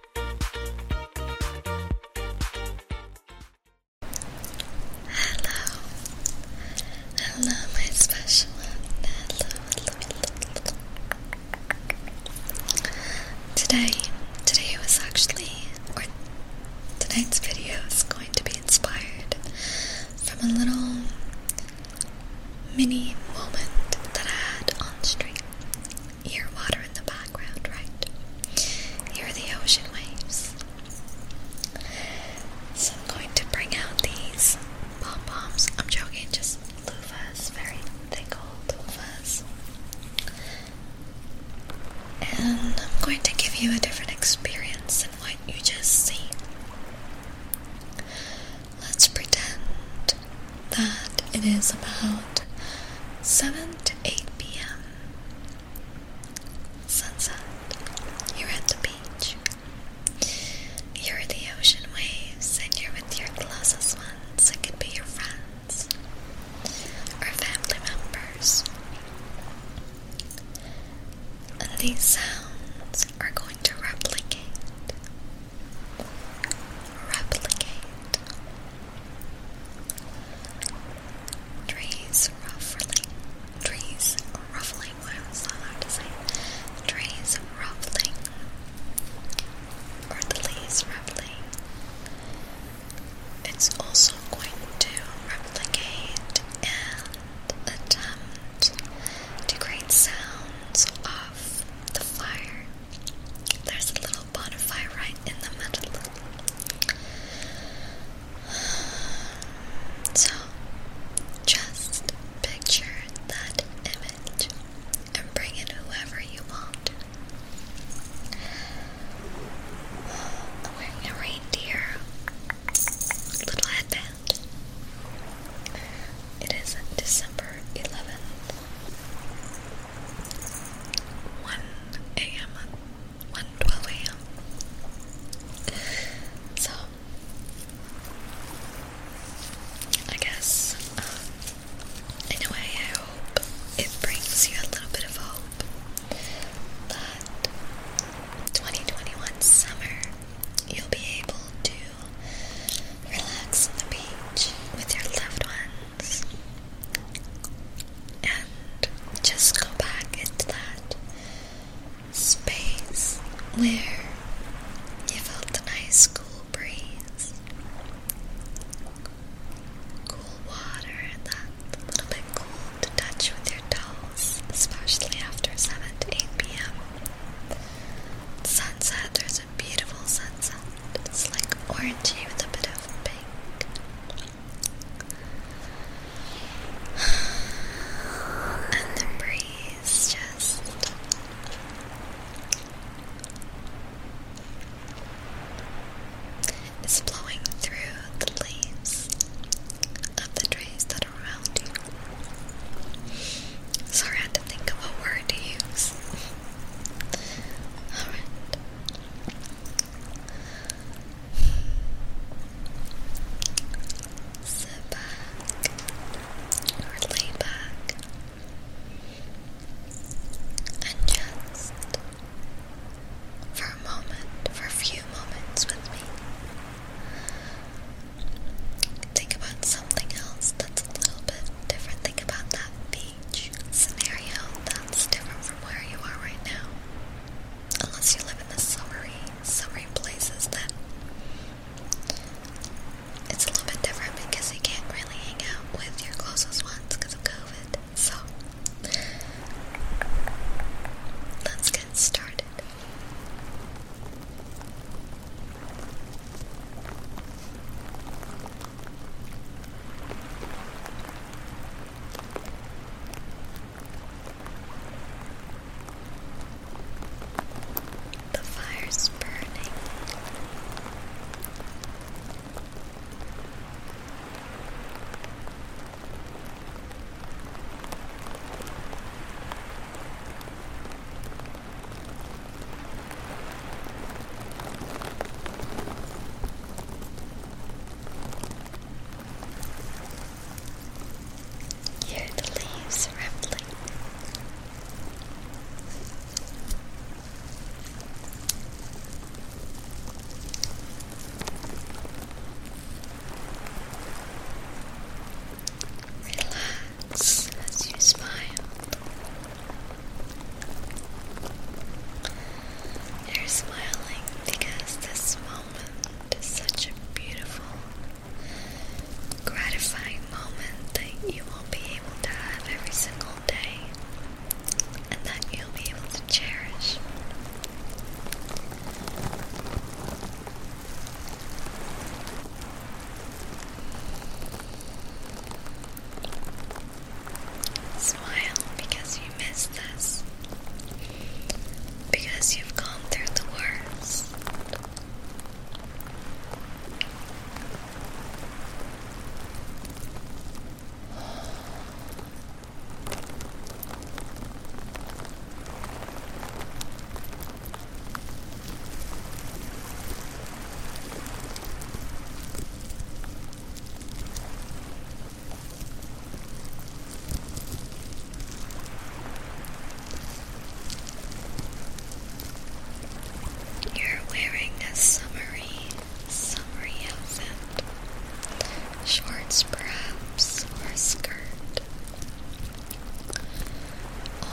Hello, hello, my special Hello, Today, today was actually, or tonight's video is going to be inspired from a little mini moment that I had on stream hear water in the background, right? You're the ocean waves. So I'm going to bring out these pom poms. I'm joking, just loofahs, very thick old loofahs. And I'm going to give you a different experience than what you just see. Let's pretend that it is about 7 to 8 p.m. sunset. You're at the beach. You're the ocean waves and you're with your closest ones. It could be your friends or family members. And these sounds are going to replicate. Replicate. Trees ruffling. Trees ruffling. Why was that allowed to say? Trees ruffling. Or leaves ruffling. It's also going to replicate and attempt to create sounds of the fire. There's a little little butterfly right in the middle. So, just picture that image and bring in whoever you want. wearing a reindeer little headband. It is December 11th, 1 a.m. 1 12 a.m. So I guess um, in a way I hope it brings you a little bit of hope that 2021 summer you'll be able to relax on the beach with your loved ones and just go back into that space where you felt the nice cool breeze, cool water, that little bit cool to touch with your toes, especially after 7 to 8 p.m. Sunset, there's beautiful sunset. It's like orangey with a bit of pink. And the breeze just is blowing through the leaves of the trees that are around you. Sorry, I had to think of a word to use. Alright. Sit back and just for a moment, for a few moments with me. Think about something else that's a little bit different. Think about that scenario that's different from where you are right now. Unless you live in the summery, summery places, then it's a little bit different because you can't really hang out with your closest ones because of COVID. So, let's get started. The fire's burning. Hear the leaves rattling. Relax as you smile you are smiling because this moment is such a beautiful, gratifying moment that you will be able to have every single day and that you'll be able to cherish. Smile because you miss this. Because you've gone through the worst. You're wearing a summery, summery outfit. Shorts, perhaps, or a skirt.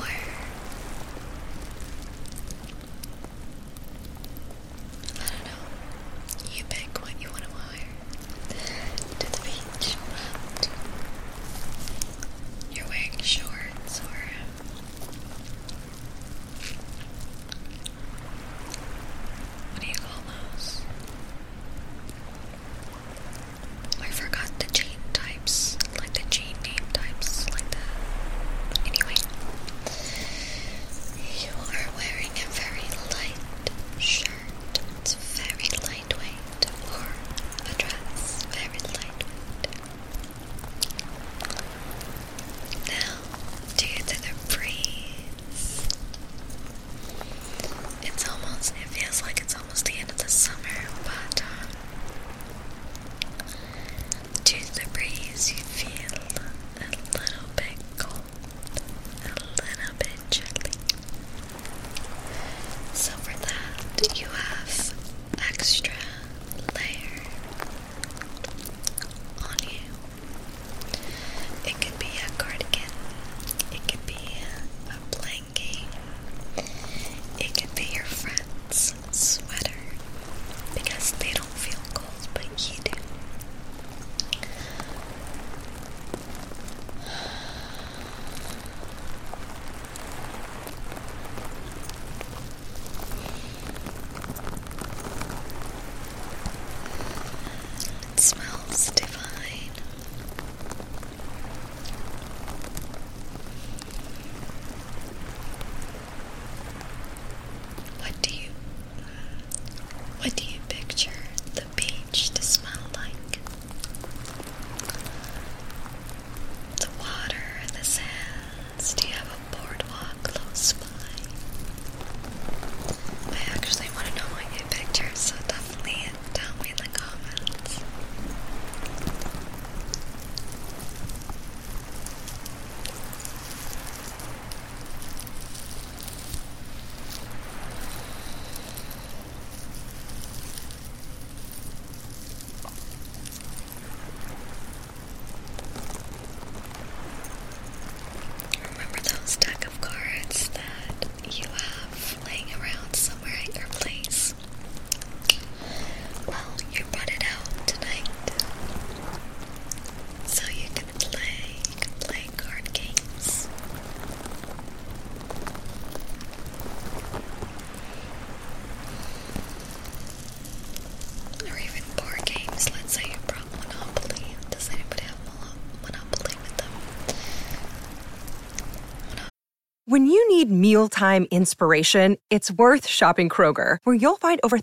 Or I don't know. You pick what you want to wear to the beach, you're wearing shorts or what do you call those? I forgot the jean types, like the jean name types, like the. Anyway, you are wearing a very light shirt. It's very lightweight, or a dress, very lightweight. Now, due to the breeze, it's almost, it feels like it's almost the end of the summer, but uh, to the breeze, you feel a little bit cold, a little bit chilly. So, for that, you have extra layer on you. It could be a cardigan, it could be a blanket, it could be your friend sweater because they don't feel cold, but you do. It smells divine. What do you what do you picture the beach to smell like? The water, the sands, do you have a boardwalk close by? I actually want to know what you picture, so definitely tell me in the comments. Remember those deck of cards that you have laying around somewhere at your place? Well, you brought it out tonight. So you can play, you can play card games. Or even board games. Let's say you brought Monopoly. Does anybody have Monopoly with them? When you need mealtime inspiration, it's worth shopping Kroger, where you'll find over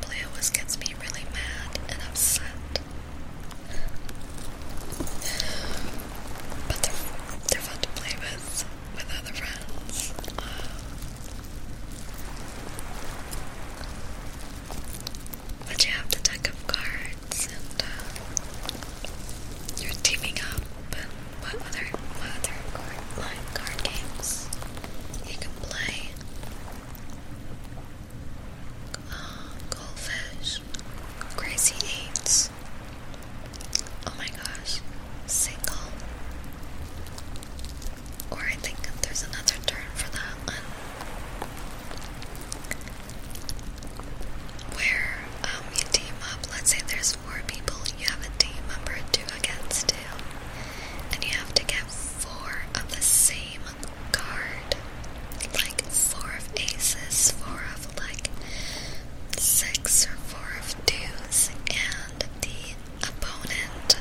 Blue gets me really mad and upset. But they're, they're fun to play with, with other friends. but you have the deck of cards and uh, you're teaming up what other, what other card, like card games you can play? Uh, Goldfish, Crazy Eights. Oh my gosh, Single. Or I think there's another term for that Where um, you team up, let's say there's four people you have a team member to against two, and you have to get four of the same card. Like four of aces, four of like six or four of twos, and the opponent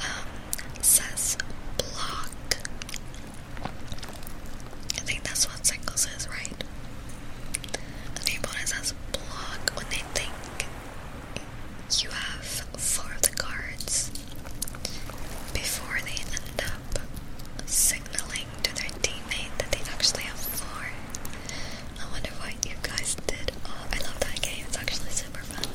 um, says block. I think that's what singles is, right? The opponent says block when they think you have four of the cards before they end up signaling to their teammate that they actually have four. I wonder what you guys did. Oh, I love that game, it's actually super fun.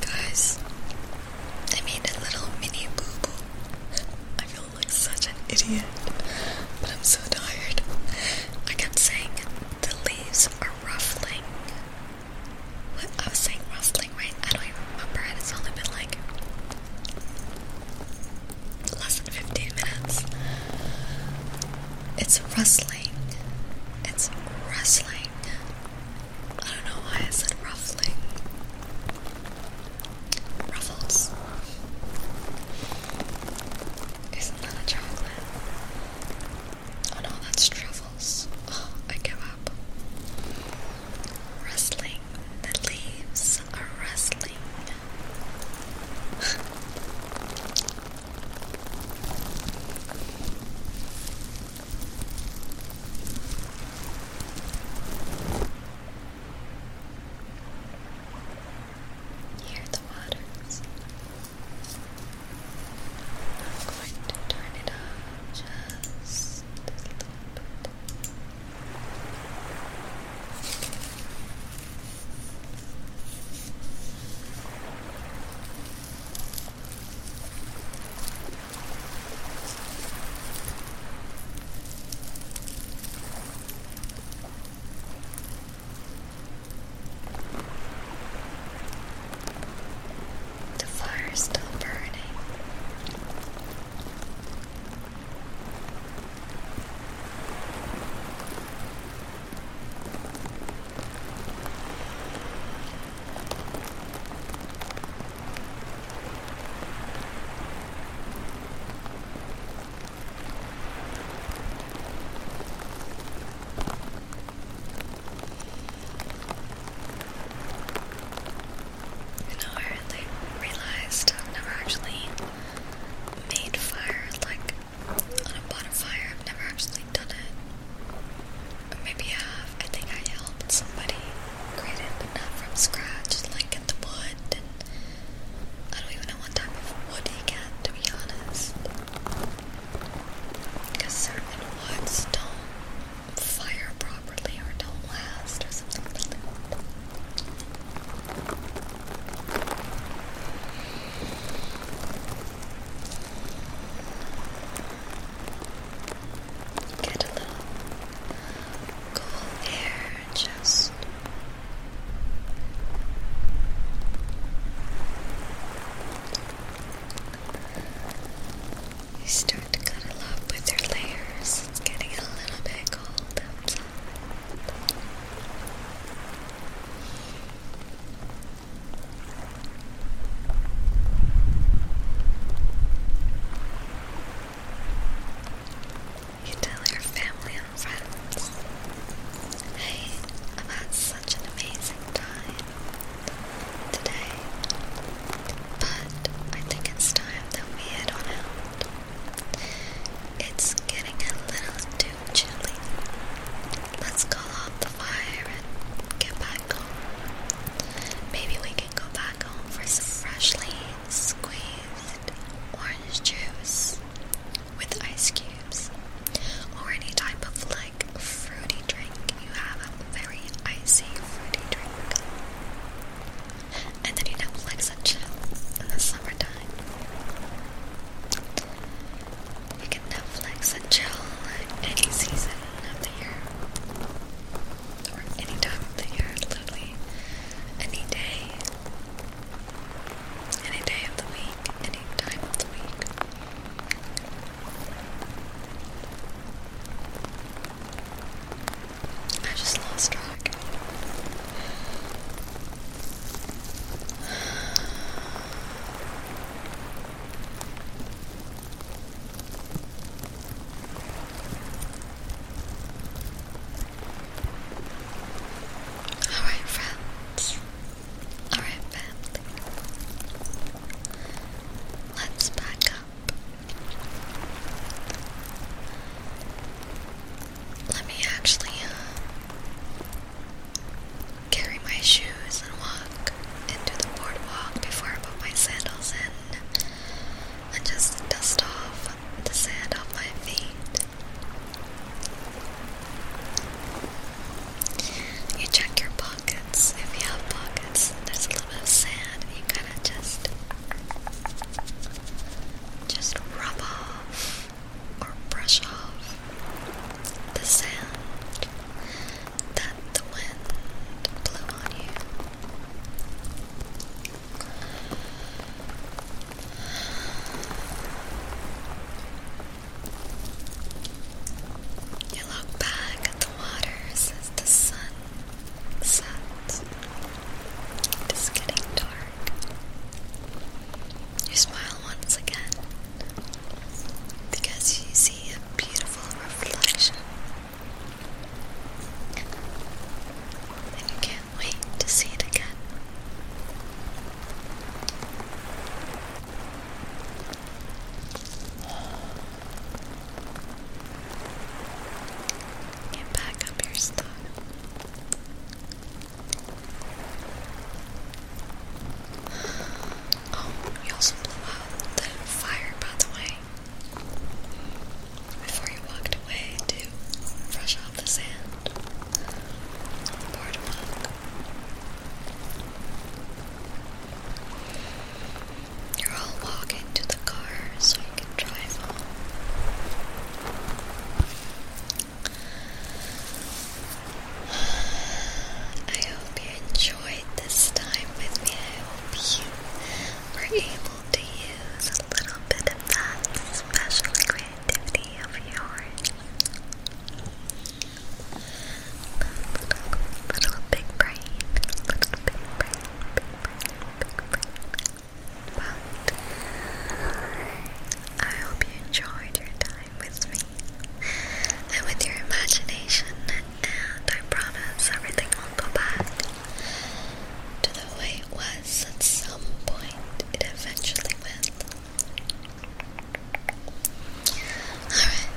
Guys, I made a little mini boo boo. I feel like such an idiot, but I'm so tired. I kept saying the leaves are ruffling. What I was saying ruffling, right? I don't even remember It's only been like less than 15 minutes. It's rustling. It's rustling. I don't know why I said ruffling. Ruffles. Isn't that a chocolate? Oh no, that's truffles. Oh, I give up. Rustling the leaves wrestling. Hear the waters. I'm going to turn it up just a little bit. The fire is still burning. You know, I realized i never actually made fire like on a bonfire. I've never actually done it. maybe I uh, have. I think I helped somebody create it, but not from scratch. Like get the wood and I don't even know what type of wood you get to be honest. Because certain woods don't fire properly or don't last or something Get a little cool air just you start to cuddle up with your layers. It's getting a little bit cold outside. You tell your family and friends, hey, I've had such an amazing time today, but I think it's time that we head on it's getting a little too chilly. Let's call off the fire and get back home. Maybe we can go back home for some freshly squeezed orange juice with ice cubes or any type of like fruity drink. You have a very icy fruity drink. And then you know, like such in the summertime time. You can Netflix and chill at any season of the year. Or any time of the year, literally. Any day. Any day of the week. Any time of the week. I just lost track. Alright, friends. Alright, family. Let's back up. Let me actually um, carry my shoes and walk into the boardwalk before I put my sandals in and just dust off the sand off my feet. You check your pockets. If you have pockets, there's a little bit of sand. You kind of just just rub off or brush off the sand that the wind blew on you. You look back at the waters as the sun sets. It is getting dark. You smile once again because you see a beautiful reflection. And you can't wait to see it again. Get back up your stuff. Oh, we also blew out the fire, by the way. Before you walked away to brush off the sand boardwalk. You're all walking to the car so you can drive I hope you enjoyed this time with me. I hope you were able to use a little bit of that special creativity of yours. Little, little big brain, little big brain, big brain, big brain. But I hope you enjoyed your time with me and with your imagination, and I promise everything will go back to the way it was at some point. It eventually will. Alright.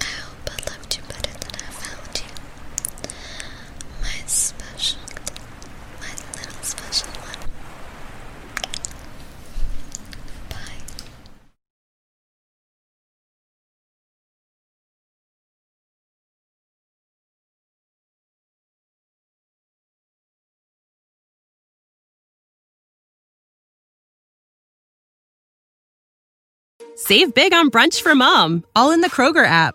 I hope I loved you better than I found you. My special Save big on brunch for mom, all in the Kroger app.